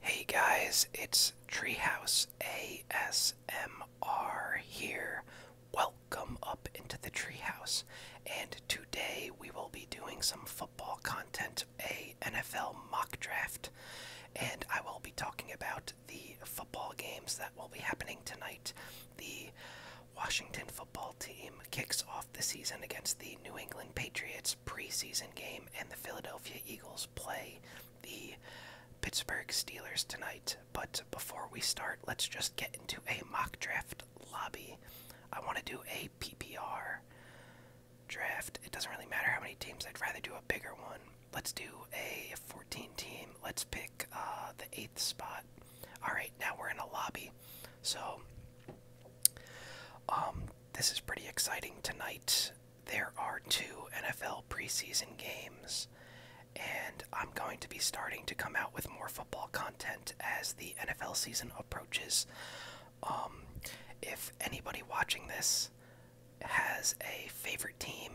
Hey guys, it's Treehouse ASMR here. Welcome up into the Treehouse, and today we will be doing some football content, a NFL mock draft, and I will be talking about the football games that will be happening tonight. The Washington football team kicks off the season against the New England Patriots preseason game and the Philadelphia Eagles play the Pittsburgh Steelers tonight. But before we start, let's just get into a mock draft lobby. I want to do a PPR draft. It doesn't really matter how many teams, I'd rather do a bigger one. Let's do a 14 team. Let's pick uh, the eighth spot. Alright, now we're in a lobby. So, um, this is pretty exciting tonight there are two NFL preseason games, and I'm going to be starting to come out with more football content as the NFL season approaches. Um, if anybody watching this has a favorite team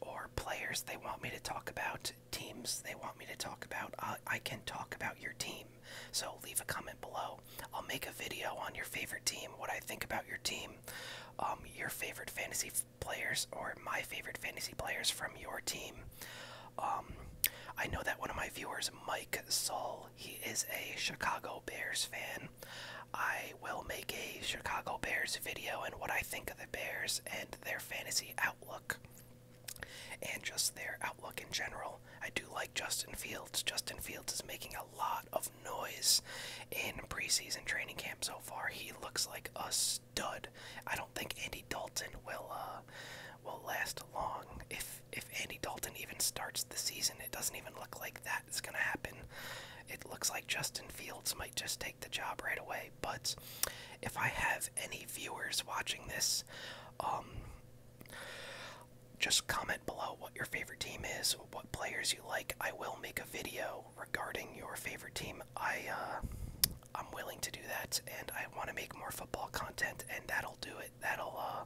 or players they want me to talk about, teams they want me to talk about, I, I can talk about your team. So leave a comment below I'll make a video on your favorite team, what I think about your team, um, your favorite fantasy players, or my favorite fantasy players from your team. Um, I know that one of my viewers, Mike Sol, he is a Chicago Bears fan. I will make a Chicago Bears video and what I think of the Bears and their fantasy outlook and just their outlook in general. I do like Justin Fields. Justin Fields is making a lot of noise in preseason training camp so far. He looks like a stud. I don't think Andy Dalton will uh, will last long. If if Andy Dalton even starts the season, it doesn't even look like that is going to happen. It looks like Justin Fields might just take the job right away. But if I have any viewers watching this, um, just comment below what your favorite team is, what players you like. I will make a video regarding your favorite team. I uh, I'm willing to do that, and I want to make more football content, and that'll do it. That'll uh,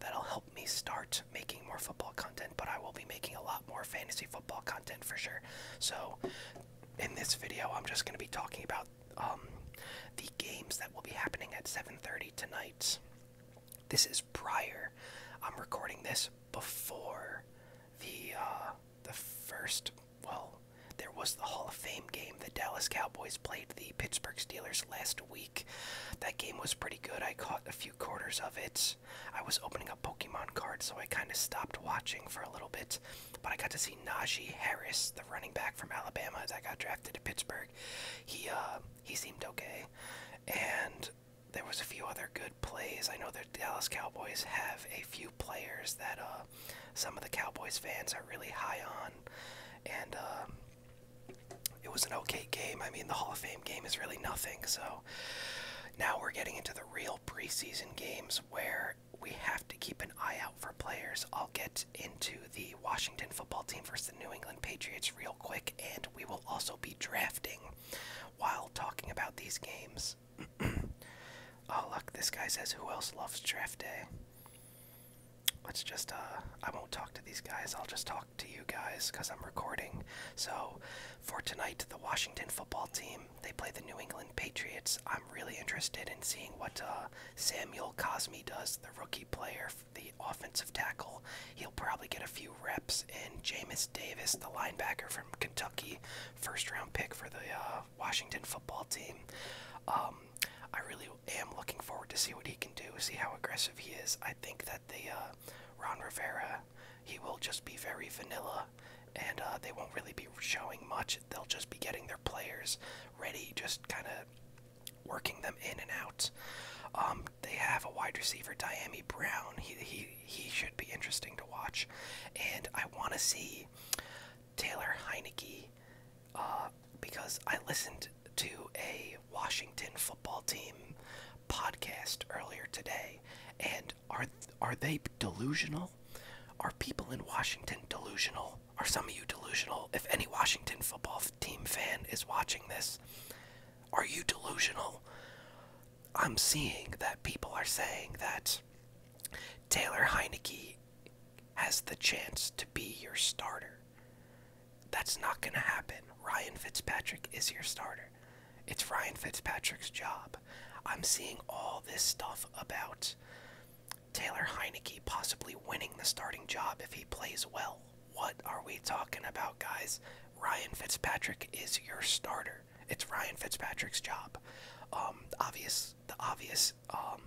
that'll help me start making more football content. But I will be making a lot more fantasy football content for sure. So in this video, I'm just going to be talking about um, the games that will be happening at 7:30 tonight. This is prior. I'm recording this before the uh, the first. Well, there was the Hall of Fame game. The Dallas Cowboys played the Pittsburgh Steelers last week. That game was pretty good. I caught a few quarters of it. I was opening up Pokemon cards, so I kind of stopped watching for a little bit. But I got to see Najee Harris, the running back from Alabama that got drafted to Pittsburgh. He uh, he seemed okay, and there was a few other good plays. I know the Dallas Cowboys have a few players that uh, some of the Cowboys fans are really high on, and um, it was an okay game. I mean, the Hall of Fame game is really nothing. So now we're getting into the real preseason games where we have to keep an eye out for players. I'll get into the Washington football team versus the New England Patriots real quick, and we will also be drafting while talking about these games. oh, look, this guy says, Who else loves draft day? Let's just, uh, I won't talk to these guys, I'll just talk to you guys because I'm recording. So, for tonight, the Washington football team, they play the New England Patriots. I'm really interested in seeing what uh, Samuel Cosme does, the rookie player, the offensive tackle. He'll probably get a few reps. Phillips and Jameis Davis, the linebacker from Kentucky, first round pick for the uh, Washington football team. Um, I really am looking forward to see what he can do, see how aggressive he is. I think that the uh, Ron Rivera, he will just be very vanilla, and uh, they won't really be showing much. They'll just be getting their players ready, just kind of working them in and out. Um, they have a wide receiver, Diami Brown. He he he should be interesting to watch, and I want to see Taylor Heineke uh, because I listened to a Washington football team podcast earlier today, and are are they delusional? Are people in Washington delusional? Are some of you delusional? If any Washington football team fan is watching this, are you delusional? I'm seeing that people are saying that Taylor Heineke has the chance to be your starter. That's not going to happen. Ryan Fitzpatrick is your starter. It's Ryan Fitzpatrick's job. I'm seeing all this stuff about Taylor Heineke possibly winning the starting job if he plays well. What are we talking about, guys? Ryan Fitzpatrick is your starter. It's Ryan Fitzpatrick's job. Um, obvious, the obvious, um,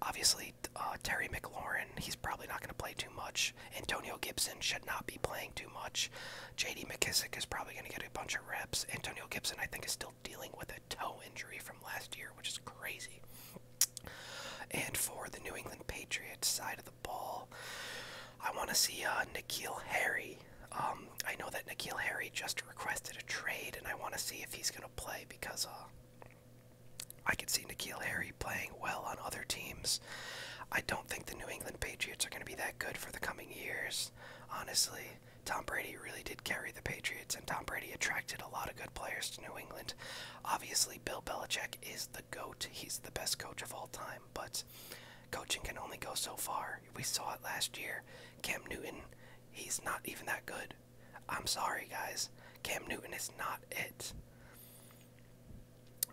obviously uh, Terry McLaurin. He's probably not going to play too much. Antonio Gibson should not be playing too much. J.D. McKissick is probably going to get a bunch of reps. Antonio Gibson, I think, is still dealing with a toe injury from last year, which is crazy. And for the New England Patriots side of the ball. I want to see uh, Nikhil Harry. Um, I know that Nikhil Harry just requested a trade, and I want to see if he's going to play because uh, I can see Nikhil Harry playing well on other teams. I don't think the New England Patriots are going to be that good for the coming years, honestly. Tom Brady really did carry the Patriots, and Tom Brady attracted a lot of good players to New England. Obviously, Bill Belichick is the GOAT. He's the best coach of all time, but Coaching can only go so far. We saw it last year. Cam Newton, he's not even that good. I'm sorry, guys. Cam Newton is not it.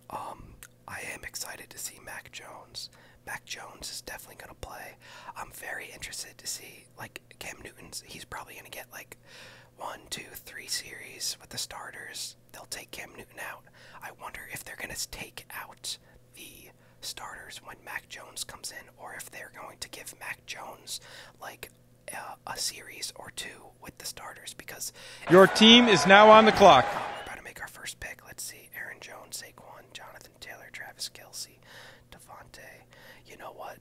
Um, I am excited to see Mac Jones. Mac Jones is definitely gonna play. I'm very interested to see like Cam Newton's. He's probably gonna get like one, two, three series with the starters they'll take Cam Newton out. I wonder if they're going to take out the starters when Mac Jones comes in, or if they're going to give Mac Jones like a series or two with the starters. Because your team is now on the clock. we're about to make our first pick. Let's see: Aaron Jones, Saquon, Jonathan Taylor, Travis Kelsey, Devontae. You know what?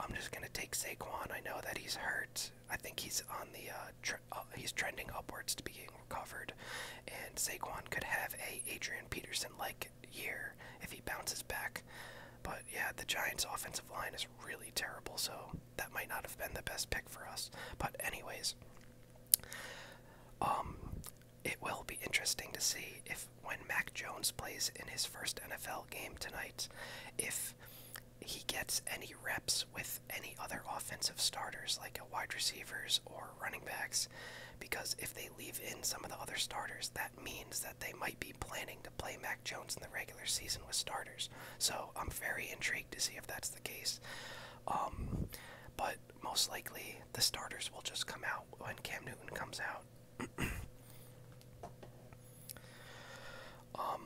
I'm just gonna take Saquon. I know that he's hurt. I think he's on the uh, uh, he's trending upwards to being recovered, and Saquon could have a Adrian Peterson-like year if he bounces back. But yeah, the Giants' offensive line is really terrible, so that might not have been the best pick for us. But anyways, um, it will be interesting to see if when Mac Jones plays in his first NFL game tonight, if he gets any reps with any other offensive starters like wide receivers or running backs because if they leave in some of the other starters, that means that they might be planning to play Mac Jones in the regular season with starters. So I'm very intrigued to see if that's the case. Um, but most likely, the starters will just come out when Cam Newton comes out. Um,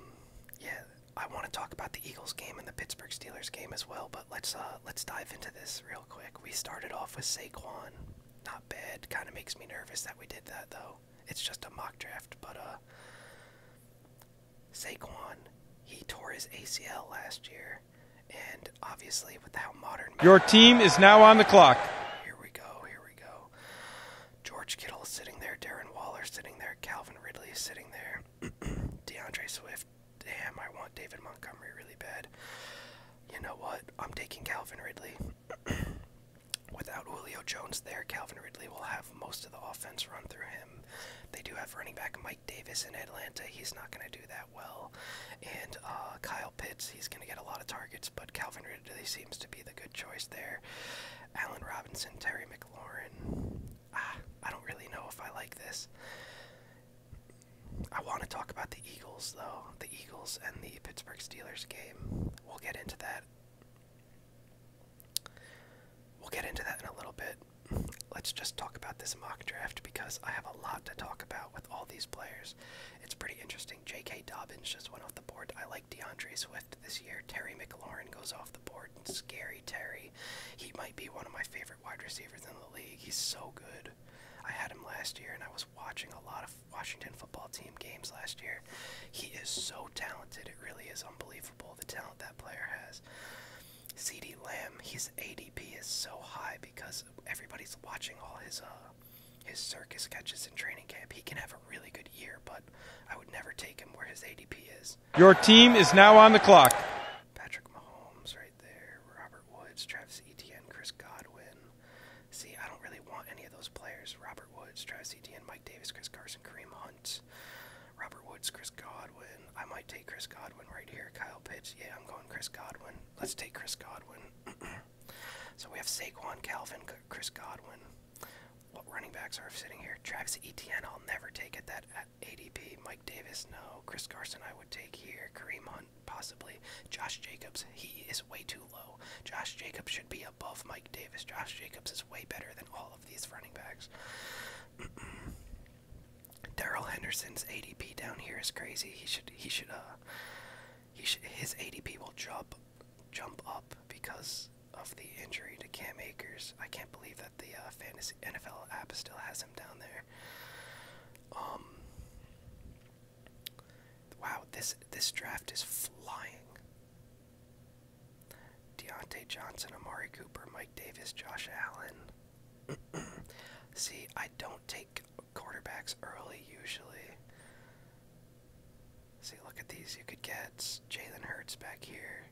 yeah, I want to talk about the Eagles game and the Pittsburgh Steelers game as well, but let's uh, let's dive into this real quick. We started off with Saquon. Not bad. Kind of makes me nervous that we did that though. It's just a mock draft, but uh Saquon, he tore his ACL last year, and obviously without modern Your team is now on the clock. Here we go, here we go. George Kittle is sitting there, Darren Waller is sitting there, Calvin Ridley is sitting there, DeAndre Swift damn, I want David Montgomery really bad. You know what? I'm taking Calvin Ridley. Without Julio Jones there, Calvin Ridley will have most of the offense run through him. They do have running back Mike Davis in Atlanta. He's not going to do that well. And uh, Kyle Pitts, he's going to get a lot of targets, but Calvin Ridley seems to be the good choice there. Allen Robinson, Terry McLaurin. Ah, I don't really know if I like this. I want to talk about the Eagles, though. The Eagles and the Pittsburgh Steelers game. We'll get into that. We'll get into that in a little bit. Let's just talk about this mock draft because I have a lot to talk about with all these players. It's pretty interesting. J.K. Dobbins just went off the board. I like DeAndre Swift this year. Terry McLaurin goes off the board. Scary Terry. He might be one of my favorite wide receivers in the league. He's so good. I had him last year, and I was watching a lot of Washington football team games last year. He is so talented. It really is unbelievable the talent that player has. CD Lamb, his ADP is so high because everybody's watching all his uh his circus catches in training camp. He can have a really good year, but I would never take him where his ADP is. Your team is now on the clock. Patrick Mahomes right there, Robert Woods, Travis Etienne, Chris Godwin. See, I don't really want any of those players. Robert Woods, Travis Etienne, Mike Davis, Chris Carson, Kareem Hunt, Robert Woods, Chris Godwin. I might take Chris Godwin right here. Kyle Pitts. Yeah, I'm going Chris Godwin. Let's take Chris Godwin. so we have Saquon, Calvin, Chris Godwin. What running backs are sitting here? Travis Etienne, I'll never take at that ADP. Mike Davis, no. Chris Carson, I would take here. Kareem possibly. Josh Jacobs, he is way too low. Josh Jacobs should be above Mike Davis. Josh Jacobs is way better than all of these running backs. Daryl Henderson's ADP down here is crazy. He should he should uh he should his ADP will jump jump up because of the injury to Cam Akers. I can't believe that the uh, fantasy NFL app still has him down there. Um, wow, this this draft is flying. Deontay Johnson, Amari Cooper, Mike Davis, Josh Allen. See, I don't take quarterbacks early usually. See, look at these. You could get Jalen Hurts back here.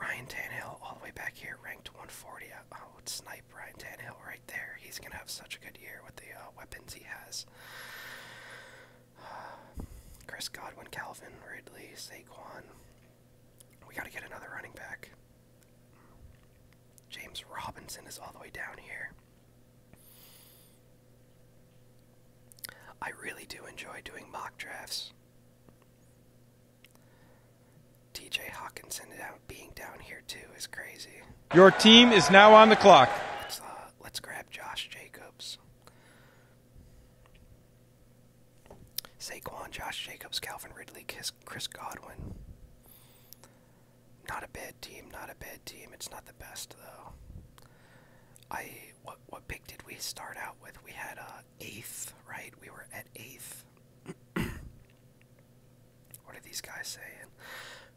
Ryan Tannehill all the way back here, ranked 140. I, would oh, snipe Ryan Tannehill right there. He's gonna have such a good year with the uh, weapons he has. Chris Godwin, Calvin Ridley, Saquon. We gotta get another running back. James Robinson is all the way down here. I really do enjoy doing mock drafts. TJ Hawkinson being down here too is crazy. Your team is now on the clock. Let's, uh, grab Josh Jacobs. Saquon, Josh Jacobs, Calvin Ridley, Chris Godwin. Not a bad team, not a bad team. It's not the best though. I what what pick did we start out with? We had uh eighth, right? We were at eighth. What are these guys saying?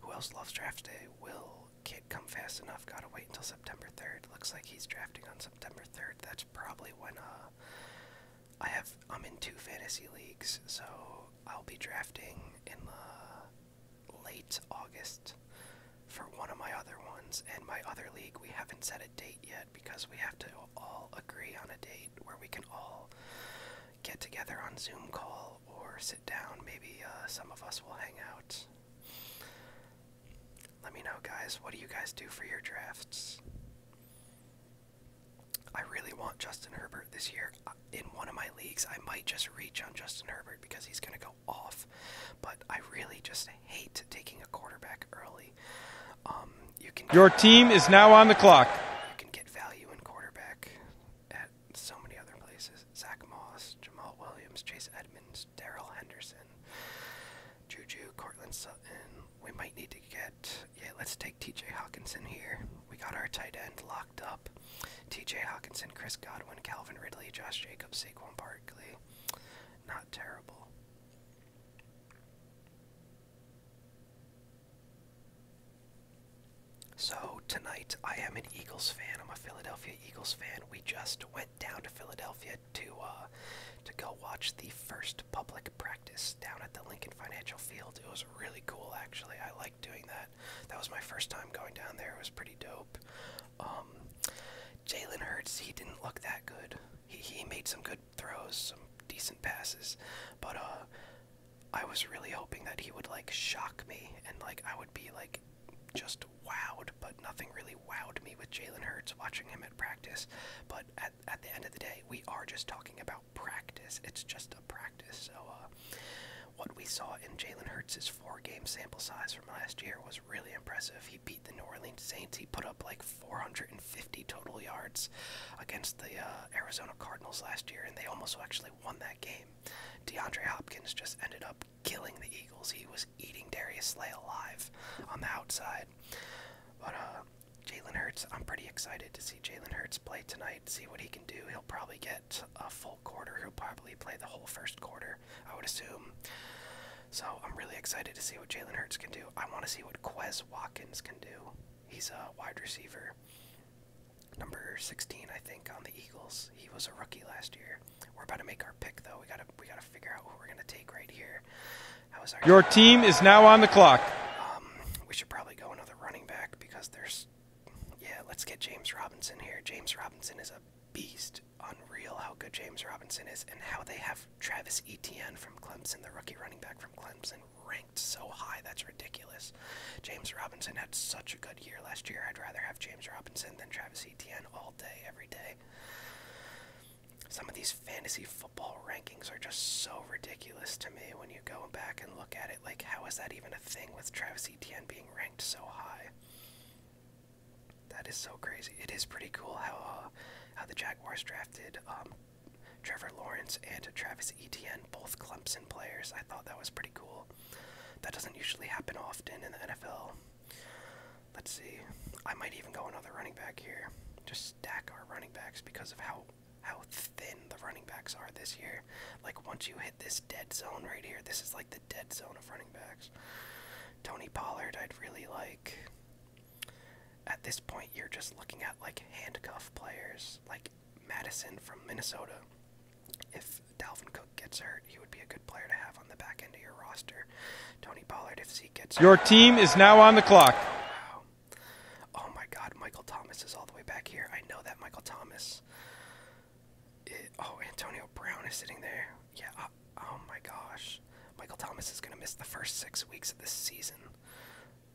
Who else loves draft day? Will can't come fast enough. Gotta wait until September 3rd. Looks like he's drafting on September 3rd. That's probably when uh, I have. I'm in two fantasy leagues, so I'll be drafting in the late August for one of my other ones. And my other league, we haven't set a date yet because we have to all agree on a date where we can all get together on Zoom call or sit down. Maybe uh, some of us will hang out. Let me know, guys. What do you guys do for your drafts? I really want Justin Herbert this year. Uh, in one of my leagues, I might just reach on Justin Herbert because he's going to go off. But I really just hate taking a quarterback early. Um, Your team is now on the clock. You can get value in quarterback at so many other places. Zach Moss, Jamal Williams, Chase Edmonds, Daryl Henderson, Juju, Cortland Sutton. We might need to get yeah, let's take TJ Hawkinson here. We got our tight end locked up. TJ Hawkinson, Chris Godwin, Calvin Ridley, Josh Jacobs, Saquon Barkley. Not terrible. So tonight, I am an Eagles fan. I'm a Philadelphia Eagles fan. We just went down to Philadelphia to uh, to go watch the first public practice down at the Lincoln Financial Field. It was really cool, actually. I liked doing that. That was my first time going down there. It was pretty dope. Um, Jalen Hurts, he didn't look that good. He he made some good throws, some decent passes, but uh, I was really hoping that he would like shock me and like I would be like just wowed, but nothing really wowed me with Jalen Hurts watching him at practice. But at, at the end of the day, we are just talking about practice. It's just a practice. So uh, what we saw in Jalen Hurts' four-game sample size from last year was really impressive. He beat the New Orleans Saints. He put up like 450 total yards against the uh, Arizona Cardinals last year, and they almost actually won that game. DeAndre Hopkins just ended up killing the Eagles. He was eating Darius Slay alive on the outside. But uh, Jalen Hurts, I'm pretty excited to see Jalen Hurts play tonight, see what he can do. He'll probably get a full quarter. He'll probably play the whole first quarter, I would assume. So I'm really excited to see what Jalen Hurts can do. I want to see what Quez Watkins can do. He's a wide receiver. Number 16, I think, on the Eagles. He was a rookie last year. We're about to make our pick, though. We gotta, we gotta figure out what we're gonna take right here. How is our Your team is now on the clock. Um, we should probably go another running back because there's, yeah, let's get James Robinson here. James Robinson is a beast. Unreal how good James Robinson is, and how they have Travis Etienne from Clemson, the rookie running back from Clemson, ranked so high. That's ridiculous. James Robinson had such a good year last year. I'd rather have James Robinson than Travis Etienne all day, every day. Some of these fantasy football rankings are just so ridiculous to me when you go back and look at it. Like, how is that even a thing with Travis Etienne being ranked so high? That is so crazy. It is pretty cool how uh, how the Jaguars drafted um, Trevor Lawrence and Travis Etienne, both Clemson players. I thought that was pretty cool. That doesn't usually happen often in the NFL. Let's see. I might even go another running back here. Just stack our running backs because of how how thin the running backs are this year. Like once you hit this dead zone right here, this is like the dead zone of running backs. Tony Pollard, I'd really like. At this point, you're just looking at like handcuff players, like Madison from Minnesota. If Dalvin Cook gets hurt, he would be a good player to have on the back end of your roster. Tony Pollard, if he gets Your team is now on the clock. Oh my God, Michael Thomas is all the way back here. I know that Michael Thomas. oh, Antonio Brown is sitting there. Yeah. Uh, oh my gosh, Michael Thomas is gonna miss the first six weeks of this season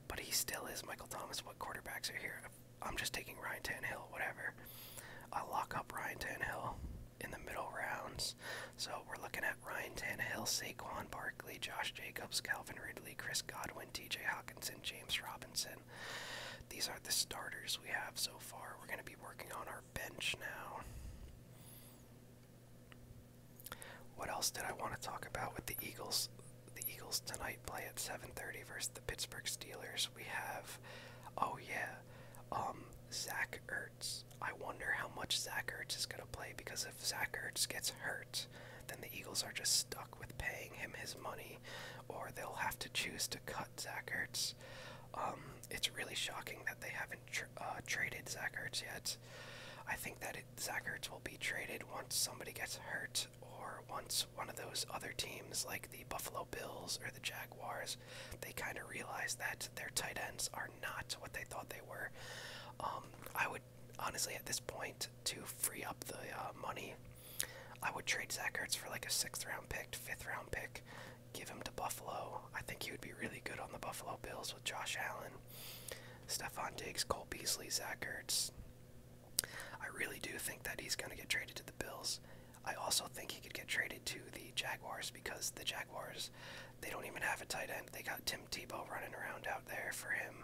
but he still is Michael Thomas. What quarterbacks are here? I'm just taking Ryan Tannehill, whatever. I lock up Ryan Tannehill in the middle rounds. So we're looking at Ryan Tannehill, Saquon Barkley, Josh Jacobs, Calvin Ridley, Chris Godwin, TJ Hawkinson, James Robinson. These are the starters we have so far. We're going to be working on our bench now. What else did I want to talk about with the Eagles? the Eagles tonight play at 7:30 versus the Pittsburgh Steelers. We have, oh yeah, um, Zach Ertz. I wonder how much Zach Ertz is gonna play because if Zach Ertz gets hurt, then the Eagles are just stuck with paying him his money, or they'll have to choose to cut Zach Ertz. Um, it's really shocking that they haven't uh, traded Zach Ertz yet. I think that Zach Ertz will be traded once somebody gets hurt or once one of those other teams like the Buffalo Bills or the Jaguars, they kind of realize that their tight ends are not what they thought they were. Um, I would honestly at this point to free up the uh, money, I would trade Zach for like a sixth round pick, fifth round pick, give him to Buffalo. I think he would be really good on the Buffalo Bills with Josh Allen, Stephon Diggs, Cole Beasley, Zach I really do think that he's going to get traded to the Bills. I also think he could get traded to the Jaguars because the Jaguars, they don't even have a tight end. They got Tim Tebow running around out there for him,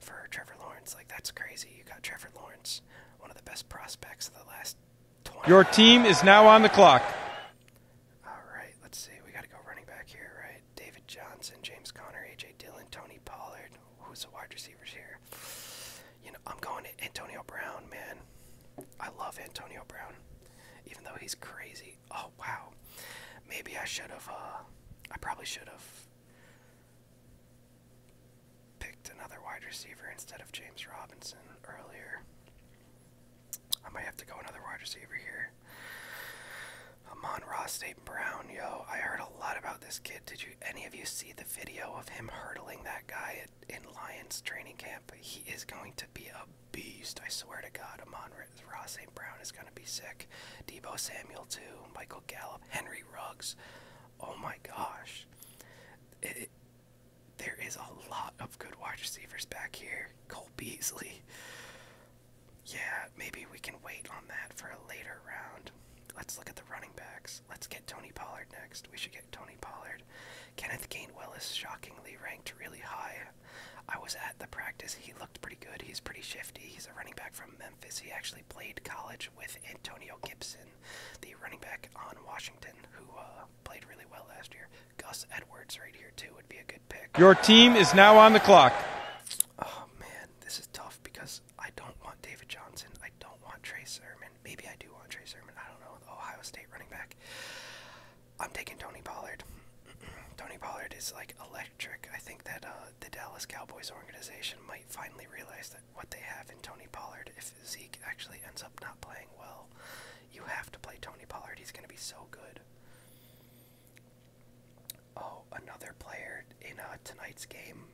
for Trevor Lawrence. Like, that's crazy. You got Trevor Lawrence, one of the best prospects of the last Your team is now on the clock. All right, let's see. We got to go running back here, right? David Johnson, James Conner, A.J. Dillon, Tony Pollard who's the wide receivers here? You know, I'm going to Antonio Brown, man. I love Antonio Brown, even though he's crazy. Oh wow, maybe I should have. Uh, I probably should have picked another wide receiver instead of James Robinson earlier. I might have to go another wide receiver here. Amon Ross State Brown, yo, I heard a lot about this kid. Did you any of you see the video of him hurdling that guy in Lions training camp? He is going to be a beast. I swear to God, Amon Ross St. Brown is going to be sick. Debo Samuel too. Michael Gallup, Henry Ruggs. Oh my gosh, it, there is a lot of good wide receivers back here. Cole Beasley. Yeah, maybe we can wait on that for a later round. Let's look at the running backs. Let's get Tony Pollard next. We should get Tony Pollard. Kenneth Gainwell is shockingly ranked really high. I was at the practice. He looked pretty good. He's pretty shifty. He's a running back from Memphis. He actually played college with Antonio Gibson, the running back on Washington, who uh, played really well last year. Gus Edwards, right here, too, would be a good pick. Your team is now on the clock. Oh, man. This is tough because I don't want David Johnson. I don't want Trey Sermon. Maybe I do want Trey Sermon. I don't know. The Ohio State running back. I'm taking Tony Pollard. Tony Pollard is like electric. I think that uh, the Dallas Cowboys organization might finally realize that what they have in Tony Pollard, if Zeke actually ends up not playing well, you have to play Tony Pollard. He's going to be so good. Oh, another player in uh, tonight's game,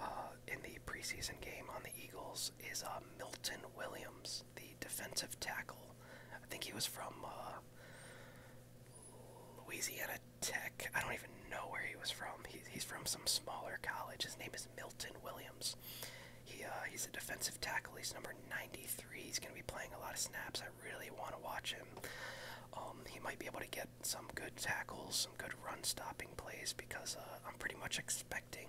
uh, in the preseason game on the Eagles, is uh, Milton Williams, the defensive tackle. I think he was from uh, Louisiana Tech. I don't even know where he was from. He, he's from some smaller college. His name is Milton Williams. He uh, he's a defensive tackle. He's number 93. He's going to be playing a lot of snaps. I really want to watch him. Um, he might be able to get some good tackles, some good run stopping plays because uh, I'm pretty much expecting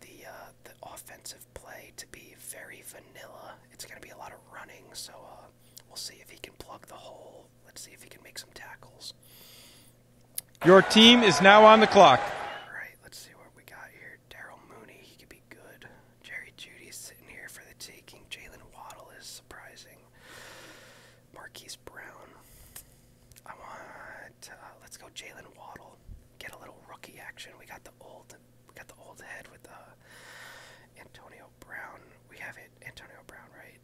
the uh, the offensive play to be very vanilla. It's going to be a lot of running, so uh, we'll see if he can plug the hole. Let's see if he can make some tackles. Your team is now on the clock. All right, let's see what we got here. Daryl Mooney, he could be good. Jerry Judy's sitting here for the taking. Jalen Waddle is surprising. Marquise Brown. I want. Uh, let's go, Jalen Waddle. Get a little rookie action. We got the old. We got the old head with uh, Antonio Brown. We have it. Antonio Brown, right?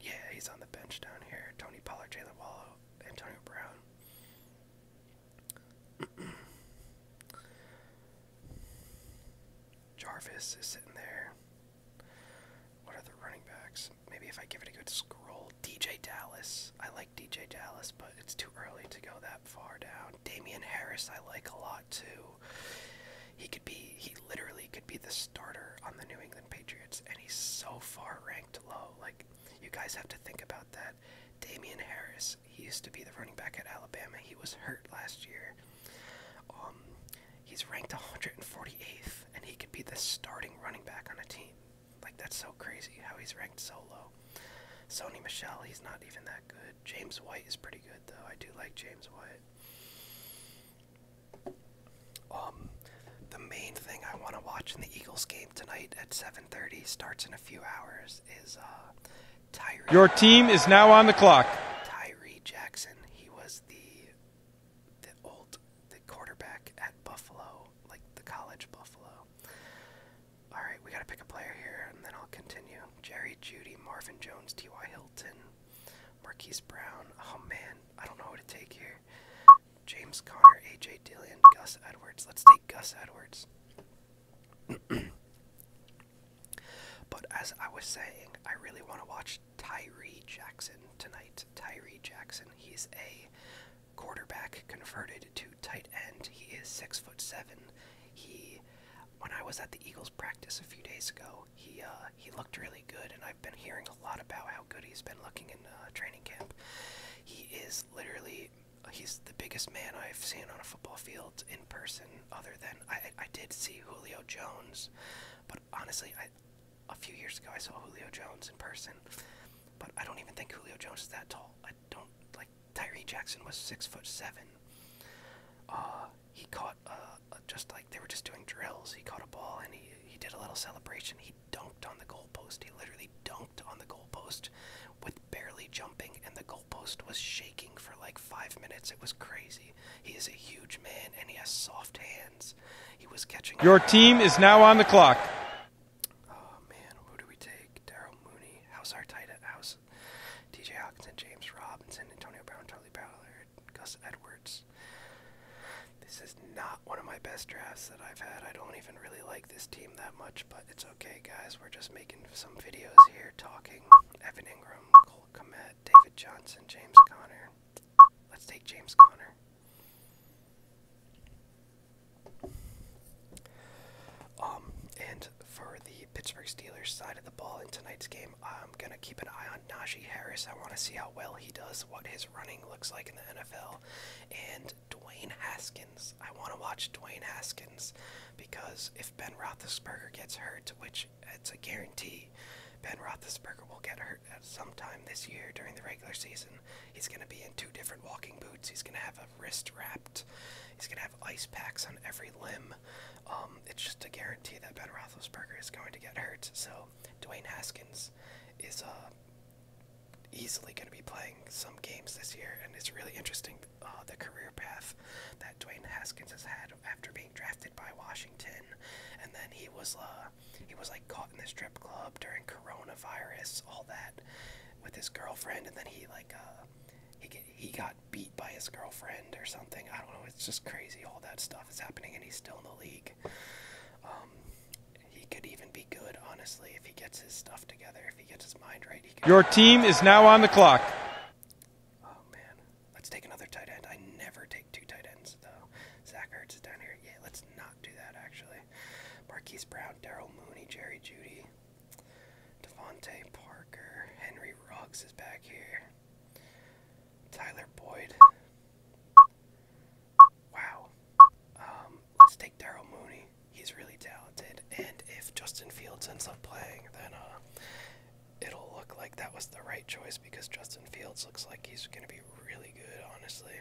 Yeah, he's on the bench down here. Tony Pollard, Jalen Waddle, Antonio Brown. Jarvis is sitting there. What are the running backs? Maybe if I give it a good scroll. DJ Dallas. I like DJ Dallas, but it's too early to go that far down. Damian Harris I like a lot too. He could be he literally could be the starter on the New England Patriots and he's so far ranked low. Like you guys have to think about that. Damian Harris, he used to be the running back at Alabama. He was hurt last year. Um, He's ranked 148th, and he could be the starting running back on a team. Like, that's so crazy how he's ranked so low. Sony Michelle, he's not even that good. James White is pretty good, though. I do like James White. Um, the main thing I want to watch in the Eagles game tonight at 7:30 starts in a few hours is uh, Tyree. Your team is now on the clock. Tyree Jackson. He was the the old the quarterback at Buffalo, like the college Buffalo. All right, we got to pick a player here, and then I'll continue. Jerry Judy, Marvin Jones, T.Y. Hilton, Marquise Brown. Oh man, I don't know what to take here. James Connor, A.J. Dillon, Gus Edwards. Let's take Gus Edwards. but as I was saying, I really want to watch Tyree Jackson tonight. Tyree Jackson, he's a quarterback converted to tight end. He is six foot seven. He, when I was at the Eagles practice a few days ago, he uh, he looked really good, and I've been hearing a lot about how good he's been looking in uh, training camp. He is literally he's the biggest man I've seen on a football field in person. Other than I, I did see Julio Jones, honestly, I, a few years ago I saw Julio Jones in person, but I don't even think Julio Jones is that tall. I don't like Tyree Jackson was six foot seven. Uh, he caught uh, just like they were just doing drills. He caught a ball and he he did a little celebration. He dunked on the goalpost. He literally dunked on the goalpost with barely jumping, and the goalpost was shaking for like five minutes. It was crazy. He is a huge man and he has soft hands. He was catching. Your team is now on the clock. Oh man, who do we take? Daryl Mooney. How's our tight end? How's DJ Hawkinson, James Robinson, Antonio Brown, Charlie Ballard, Gus Edwards. This is not one of my best drafts that I've had. I don't even really like this team that much, but it's okay, guys. We're just making some videos here talking. Evan Ingram, Cole Komet, David Johnson, James Connor. Let's take James Conner. Um, and for the Pittsburgh Steelers side of the ball in tonight's game, I'm gonna keep an eye on Najee Harris. I want to see how well he does, what his running looks like in the NFL, and Dwayne Haskins. I want to watch Dwayne Haskins because if Ben Roethlisberger gets hurt, which it's a guarantee, Ben Roethlisberger will get hurt start sometime this year during the regular season. He's going to be in two different walking boots. He's going to have a wrist wrapped. He's going to have ice packs on every limb. Um, it's just a guarantee that Ben Roethlisberger is going to get hurt. So Dwayne Haskins is uh, easily going to be playing some games this year, and it's really interesting uh, the career path that Dwayne Haskins has had after being drafted by Washington, and then he was uh, he was like caught in the strip club during coronavirus, all that, with his girlfriend, and then he like uh, he he got beat by his girlfriend or something. I don't know. It's just crazy. All that stuff is happening, and he's still in the league. Um, he could even be good, honestly, if he gets his stuff together, if he gets his mind right. He Your team is now on the clock. Oh man, Let's take another tight end. I never take two tight ends, though. Zach Ertz is down here. Yeah, let's not do that, actually. Marquise Brown, Daryl Mooney, Jerry Judy, Devontae Parker, Henry Ruggs is back here. Tyler Boyd. Wow. Um, let's take Daryl Mooney. He's really talented. And if Justin Fields ends up playing, then uh, it'll look like that was the right choice because Justin Fields looks like he's going to be really good, honestly.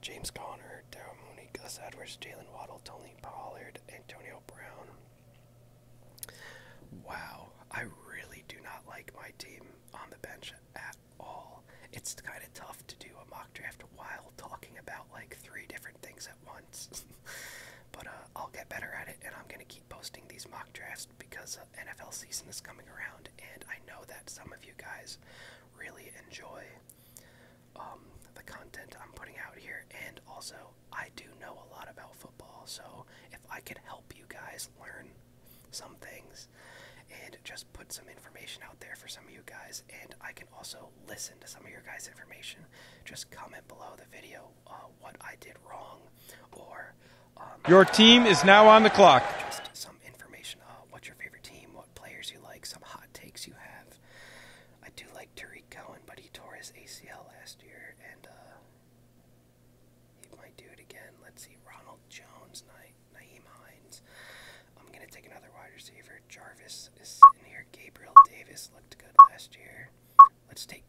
James Conner, Darryl Mooney, Gus Edwards, Jalen Waddle, Tony Pollard, Antonio Brown. Wow, I really do not like my team on the bench at all. It's kind of tough to do a mock draft while talking about like three different things at once. but uh, I'll get better at it, and I'm going to keep posting these mock drafts because uh, NFL season is coming around, and I know that some of you guys really enjoy um, the content I'm putting out here. And also, I do know a lot about football, so if I could help you guys learn some things and just put some information out there for some of you guys, and I can also listen to some of your guys' information, just comment below the video uh, what I did wrong or your team is now on the clock. Just some information. Uh, what's your favorite team? What players you like? Some hot takes you have. I do like Tariq Cohen, but he tore his ACL last year, and uh, he might do it again. Let's see. Ronald Jones, Na- Naeem Hines. I'm gonna take another wide receiver. Jarvis is sitting here. Gabriel Davis looked good last year. Let's take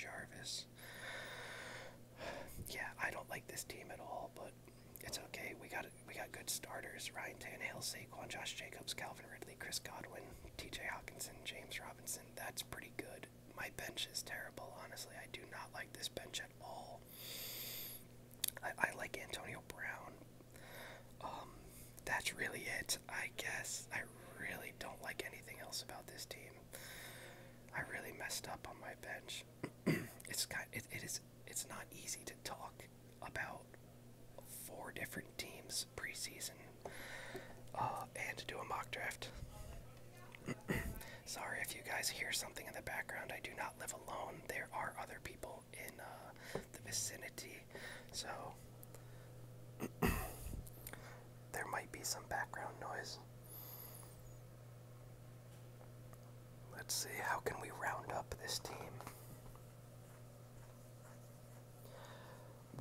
Jarvis. Yeah, I don't like this team at all, but it's okay. We got we got good starters: Ryan Tannehill, Saquon, Josh Jacobs, Calvin Ridley, Chris Godwin, T.J. Hawkinson, James Robinson. That's pretty good. My bench is terrible, honestly. I do not like this bench at all. I, I like Antonio Brown. Um, that's really it, I guess. I really don't like anything else about this team. I really messed up on my bench it's it, it is it's not easy to talk about four different teams preseason uh, and do a mock draft. Sorry if you guys hear something in the background. I do not live alone. There are other people in uh, the vicinity, so there might be some background noise. Let's see, how can we round up this team?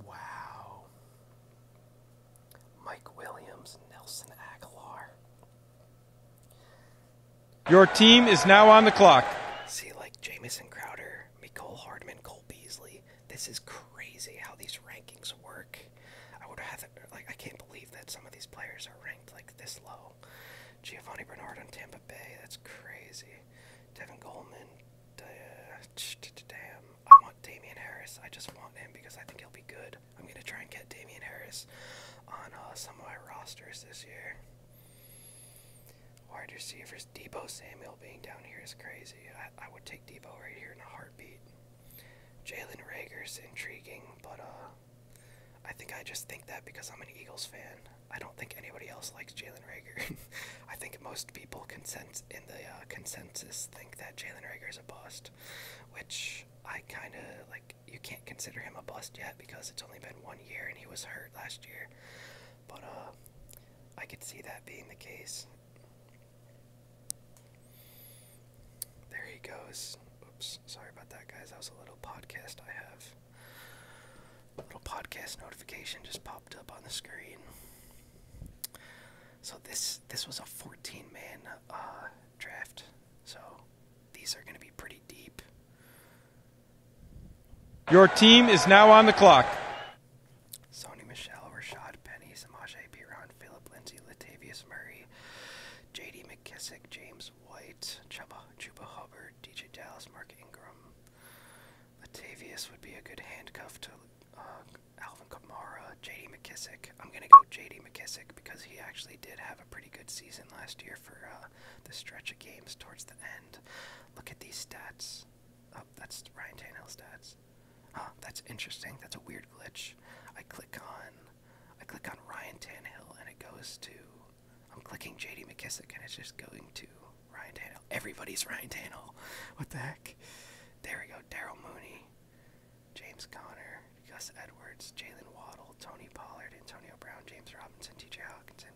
Wow. Mike Williams, Nelson Aguilar. Your team is now on the clock. See, like Jamison Crowder, Nicole Hardman, Cole Beasley. This is crazy how these rankings work. I would have like I can't believe that some of these players are ranked like this low. Giovanni Bernard on Tampa Bay, that's crazy. Devin Goldman, damn. I want Damian Harris. I just want him because I think he'll be good. I'm gonna try and get Damian Harris on uh, some of my rosters this year. Wide receivers, Debo Samuel being down here is crazy. I, I would take Debo right here in a heartbeat. Jalen Rager's intriguing, but uh, I think I just think that because I'm an Eagles fan. I don't think anybody else likes Jalen Rager. I think most people consent in the uh, consensus think that Jalen Rager is a bust, which I kind of like. You can't consider him a bust yet because it's only been one year and he was hurt last year. But uh, I could see that being the case. There he goes. Oops, sorry about that, guys. That was a little podcast I have. A little podcast notification just popped up on the screen. So this this was a 14 man uh, draft. So these are going to be pretty deep. Your team is now on the clock. Sony Michelle, Rashad Penny, Samaj Piran, Philip Lindsay, Latavius Murray, J.D. McKissick, James White, Chuba, Chuba Hubbard, DJ Dallas, Mark Ingram. Latavius would be a good handcuff to uh, Alvin Kamara, J.D. McKissick. I'm going to go J.D. McKissick because he actually did have a pretty good season last year for uh, the stretch of games towards the end. Look at these stats. Oh, that's Ryan Tannehill stats. that's interesting. That's a weird glitch. I click on I click on Ryan Tannehill and it goes to. I'm clicking J.D. McKissick and it's just going to Ryan Tannehill. Everybody's Ryan Tannehill. What the heck? There we go. Daryl Mooney, James Conner, Gus Edwards, Jalen Waddle, Tony Pollard, Antonio Brown, James Robinson, T.J. Hawkinson.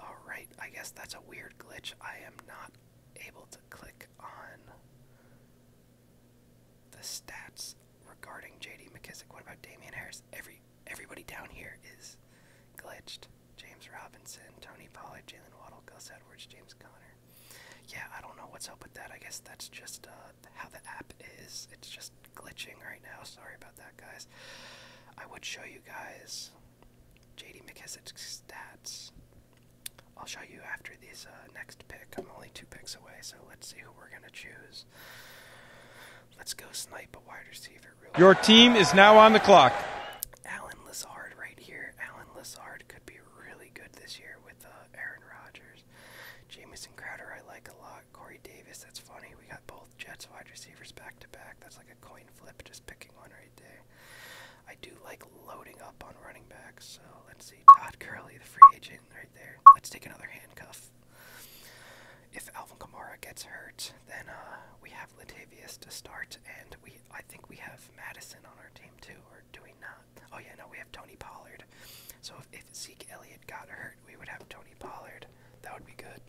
All right. I guess that's a weird glitch. I am not able to click on the stats regarding J.D. McKissick. What about Damian Harris? Every everybody down here is glitched. James Robinson, Tony Pollard, Jalen Waddle, Gus Edwards, James Conner. Yeah, I don't know what's up with that. I guess that's just uh, how the app is. It's just glitching right now. Sorry about that, guys. I would show you guys J.D. McKissick's stats. I'll show you after these uh, next pick. I'm only two picks away, so let's see Let's go snipe a wide receiver. Your team is now on the clock. Alan Lazard right here. Alan Lazard could be really good this year with uh, Aaron Rodgers. Jamison Crowder I like a lot. Corey Davis, that's funny. We got both Jets wide receivers back to back. That's like a coin flip, just picking one right there. I do like loading up on running backs, so let's see Todd Curley, the free agent, right there. Let's take another handcuff. If Alvin Kamara gets hurt, then uh, we have Latavius to start, and we I think we have Madison on our team too, or do we not? Oh yeah, no, we have Tony Pollard. So if, if Zeke Elliott got hurt, we would have Tony Pollard. That would be good.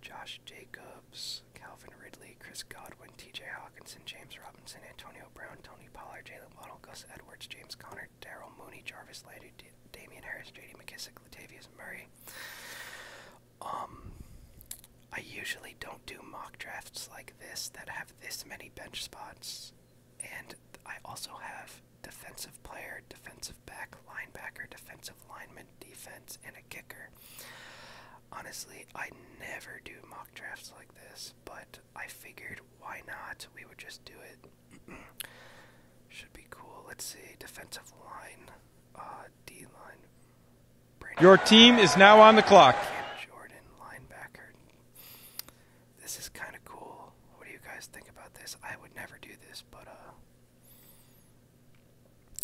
Josh Jacobs, Calvin Ridley, Chris Godwin, T.J. Hawkinson, James Robinson, Antonio Brown, Tony Pollard, Jalen. Caleb Gus Edwards, James Conner, Daryl Mooney, Jarvis Landry, Damian Harris, J.D. McKissick, Latavius Murray. Um, I usually don't do mock drafts like this that have this many bench spots, and I also have defensive player, defensive back, linebacker, defensive lineman, defense, and a kicker. Honestly, I never do mock drafts like this, but I figured why not? We would just do it. Should be cool. Let's see. Defensive line, uh, D line. Your team is now on the clock. Jordan, linebacker. This is kind of cool. What do you guys think about this? I would never do this, but uh,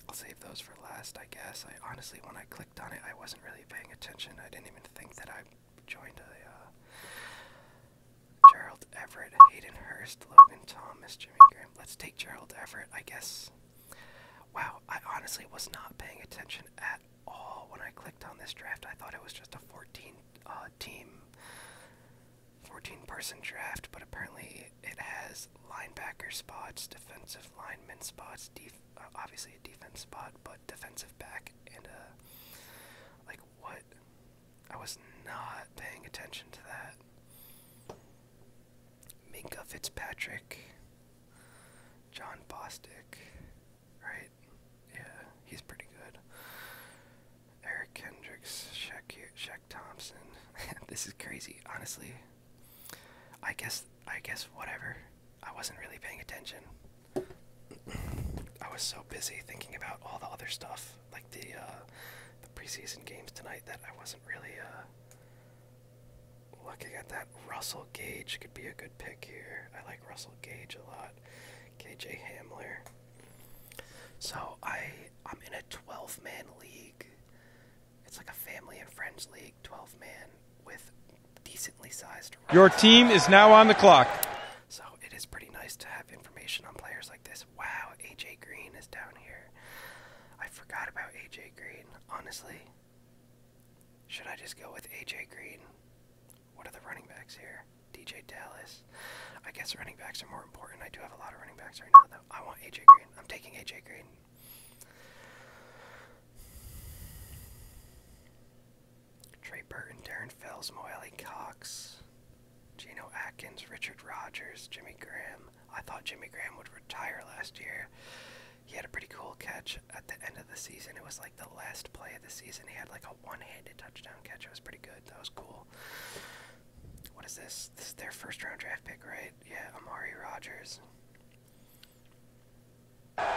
I'll save those for last, I guess. I honestly, when I clicked on it, I wasn't really paying attention. I didn't even think that I joined a uh, Gerald Everett, Hayden Hurst, Logan Thomas, Jimmy Graham. Let's take Gerald Everett, I guess. Wow, I honestly was not paying attention at all when I clicked on this draft. I thought it was just a 14 uh, team, 14 person draft, but apparently it has linebacker spots, defensive lineman spots, defense uh, obviously a defense spot, but defensive back and uh, like what? I was not paying attention to that. Minka Fitzpatrick, John Bostic, right? Yeah, he's pretty good. Eric Kendricks, Shaq, Shaq Thompson. this is crazy, honestly. I guess, I guess, whatever. I wasn't really paying attention. I was so busy thinking about all the other stuff, like the uh, the preseason games tonight, that I wasn't really uh, looking at that. Russell Gage could be a good pick here. I like Russell Gage a lot. KJ Hamler. So I I'm in a 12 man league. It's like a family and friends league, 12 man with your team is now on the clock. So it is pretty nice to have information on players like this. Wow, AJ Green is down here. I forgot about AJ Green. Honestly, should I just go with AJ Green? What are the running backs here? DJ Dallas. I guess running backs are more important. I do have a lot of running backs right now, though. I want AJ Green. I'm taking AJ Green. Trey Burton, Darren Fells, Moelle Cox, Gino Atkins, Richard Rogers, Jimmy Graham. I thought Jimmy Graham would retire last year. He had a pretty cool catch at the end of the season. It was like the last play of the season. He had like a one-handed touchdown catch. It was pretty good. That was cool. What is this? This is their first round draft pick, right? Yeah, Amari Rogers.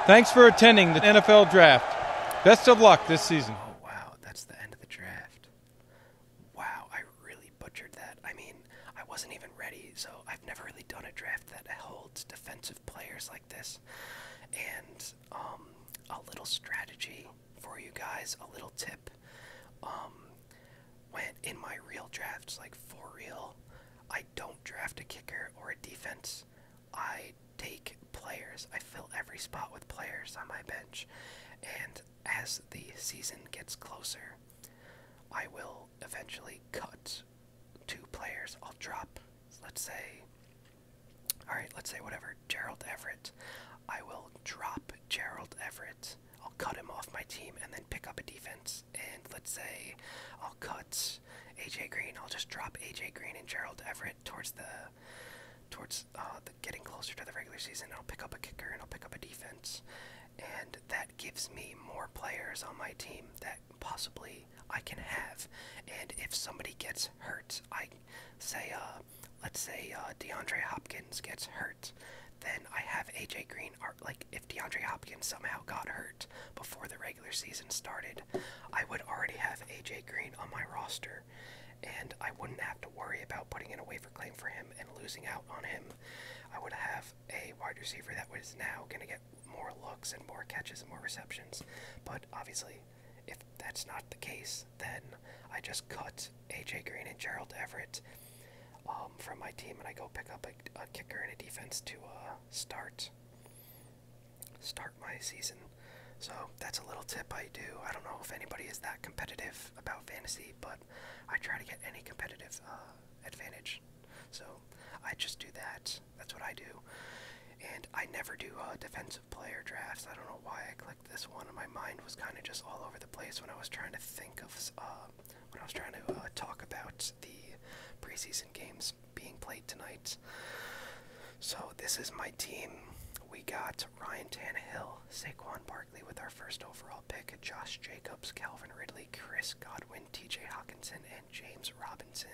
Thanks for attending the NFL Draft. Best of luck this season. Oh, wow. That's the end of the draft. Wow, I really butchered that. I mean, I wasn't even ready, so I've never really done a draft that holds defensive players like this. And um, a little strategy for you guys, a little tip. Um, when in my real drafts, like for real, I don't draft a kicker or a defense. I take players. I fill every spot with players on my bench. And as the season gets closer, I will eventually cut two players. I'll drop, let's say, alright, let's say whatever, Gerald Everett. I will drop Gerald Everett. I'll cut him off my team and then pick up a defense. And let's say I'll cut AJ Green. I'll just drop AJ Green and Gerald Everett towards the towards uh, the getting closer to the regular season. I'll pick up a kicker and I'll pick up a defense, and that gives me more players on my team that possibly I can have. And if somebody gets hurt, I say, uh, let's say uh, DeAndre Hopkins gets hurt. Then I have AJ Green, or like if DeAndre Hopkins somehow got hurt before the regular season started, I would already have AJ Green on my roster, and I wouldn't have to worry about putting in a waiver claim for him and losing out on him. I would have a wide receiver that was now going to get more looks and more catches and more receptions. But obviously, if that's not the case, then I just cut AJ Green and Gerald Everett um, from my team, and I go pick up a, kicker and a defense to uh, start start my season. So that's a little tip I do. I don't know if anybody is that competitive about fantasy, but I try to get any competitive uh, advantage. So I just do that. That's what I do. And I never do a uh, defensive player drafts. I don't know why I clicked this one. My mind was kind of just all over the place when I was trying to think of, uh, when I was trying to talk about the preseason games being played tonight. So this is my team. We got Ryan Tannehill, Saquon Barkley with our first overall pick, Josh Jacobs, Calvin Ridley, Chris Godwin, TJ Hawkinson, and James Robinson.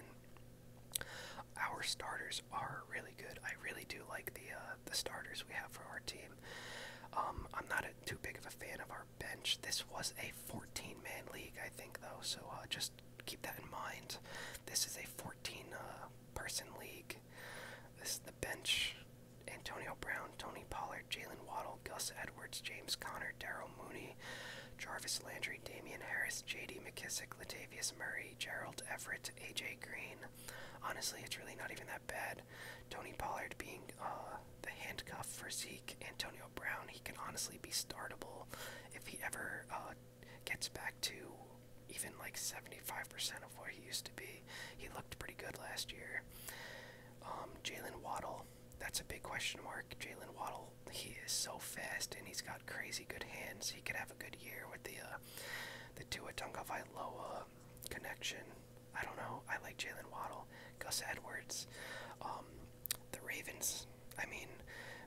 Our starters are really good. I really do like the uh, the starters we have for our team. Um, I'm not too big of a fan of our bench. This was a 14-man league, I think, though. So uh, just keep that in mind. This is a 14 uh, person league. This is the bench. Antonio Brown, Tony Pollard, Jalen Waddle, Gus Edwards, James Conner, Daryl Mooney, Jarvis Landry, Damien Harris, J.D. McKissick, Latavius Murray, Gerald Everett, A.J. Green. Honestly, it's really not even that bad. Tony Pollard being uh, the handcuff for Zeke, Antonio Brown, he can honestly be startable if he ever uh, gets back to even like 75% of what he used to be. He looked pretty good last year. Um, Jalen Waddle, that's a big question mark. Jalen Waddle, he is so fast and he's got crazy good hands. He could have a good year with the uh, the Tua Tagovailoa connection. I don't know. I like Jalen Waddle, Gus Edwards, um, the Ravens. I mean,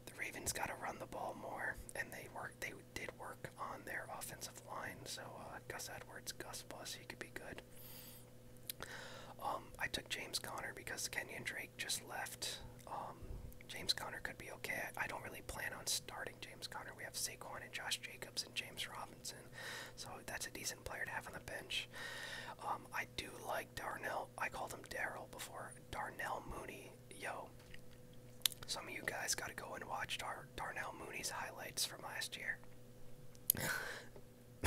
the Ravens got to run the ball more, and they work. They did work on their offensive line, so uh, Gus Edwards, Gus Bus, he could be good. Um, I took James Conner because Kenyon Drake just left. Um, James Conner could be okay. I, don't really plan on starting James Conner. We have Saquon and Josh Jacobs and James Robinson, so that's a decent player to have on the bench. Um, I do like Darnell. I called him Daryl before. Darnell Mooney yo, some of you guys got to go and watch Darnell Mooney's highlights from last year.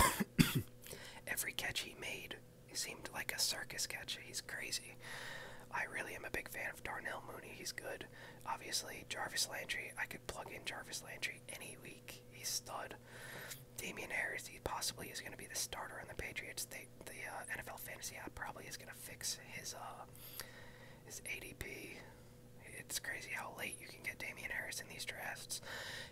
Every catch he made seemed like a circus catch. He's crazy. I really am a big fan of Darnell Mooney. He's good. Obviously, Jarvis Landry. I could plug in Jarvis Landry any week. He's stud. Damien Harris. He possibly is going to be the starter on the Patriots. They the uh, NFL fantasy app probably is gonna fix his uh his ADP. It's crazy how late you can get Damian Harris in these drafts.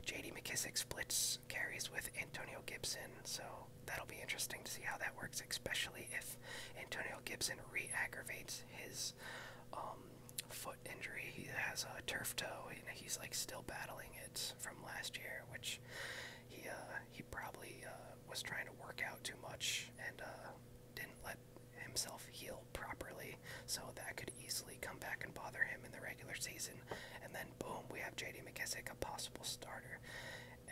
J.D. McKissick splits carries with Antonio Gibson, so that'll be interesting to see how that works, especially if Antonio Gibson re-aggravates his um, foot injury. He has a turf toe, and he's like still battling it from last year, which he uh, he probably uh, was trying to work out too much and uh, didn't let himself heal properly, so that could easily come back and bother him in the regular season. And then, boom, we have J.D. McKissick, a possible starter.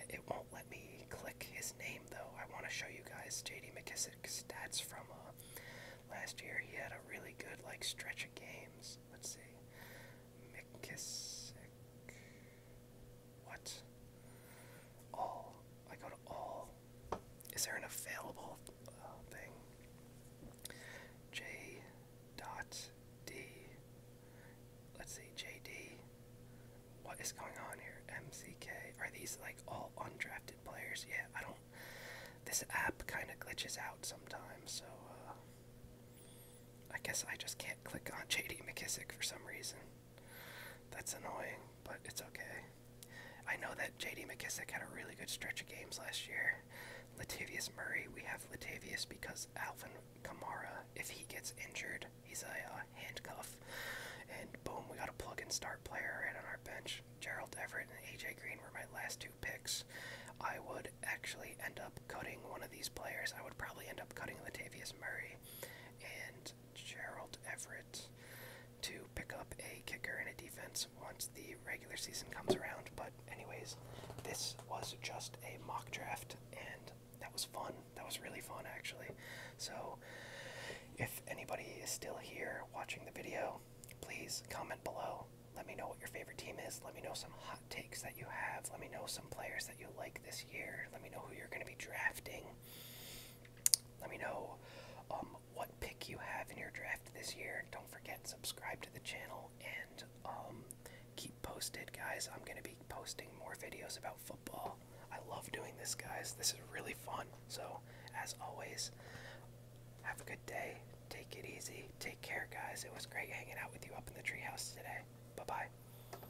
It won't let me click his name though. I want to show you guys J.D. McKissick stats from uh, last year. He had a really good like stretch of games. Let's see, McKissick. What? All. I go to all. Is there an available uh, thing? J dot D. Let's see, JD. What is going on here? MCK. Are these like all undrafted players? Yeah, I don't. This app kind of glitches out sometimes, so uh, I guess I just can't click on JD McKissick for some reason. That's annoying, but it's okay. I know that J.D. McKissick had a really good stretch of games last year. Latavius Murray, we have Latavius because Alvin Kamara, if he gets injured, he's a uh, handcuff. And boom, we got a plug and start player and on our bench. Gerald Everett and AJ Green were my last two picks. I would actually end up cutting one of these players. I would probably end up cutting Latavius Murray and Gerald Everett, to pick up a kicker and a defense once the regular season comes around. But, anyways, this was just a mock draft, and that was fun. That was really fun, actually. So, if anybody is still here watching the video, please comment below. Let me know what your favorite team is. Let me know some hot takes that you have. Let me know some players that you like this year. Let me know who you're going to be drafting. Let me know um, what pick you have in your draft this year. Don't forget subscribe to the channel and um, keep posted, guys. I'm gonna be posting more videos about football. I love doing this, guys. This is really fun. So, as always, have a good day. Take it easy. Take care, guys. It was great hanging out with you up in the treehouse today. Bye bye.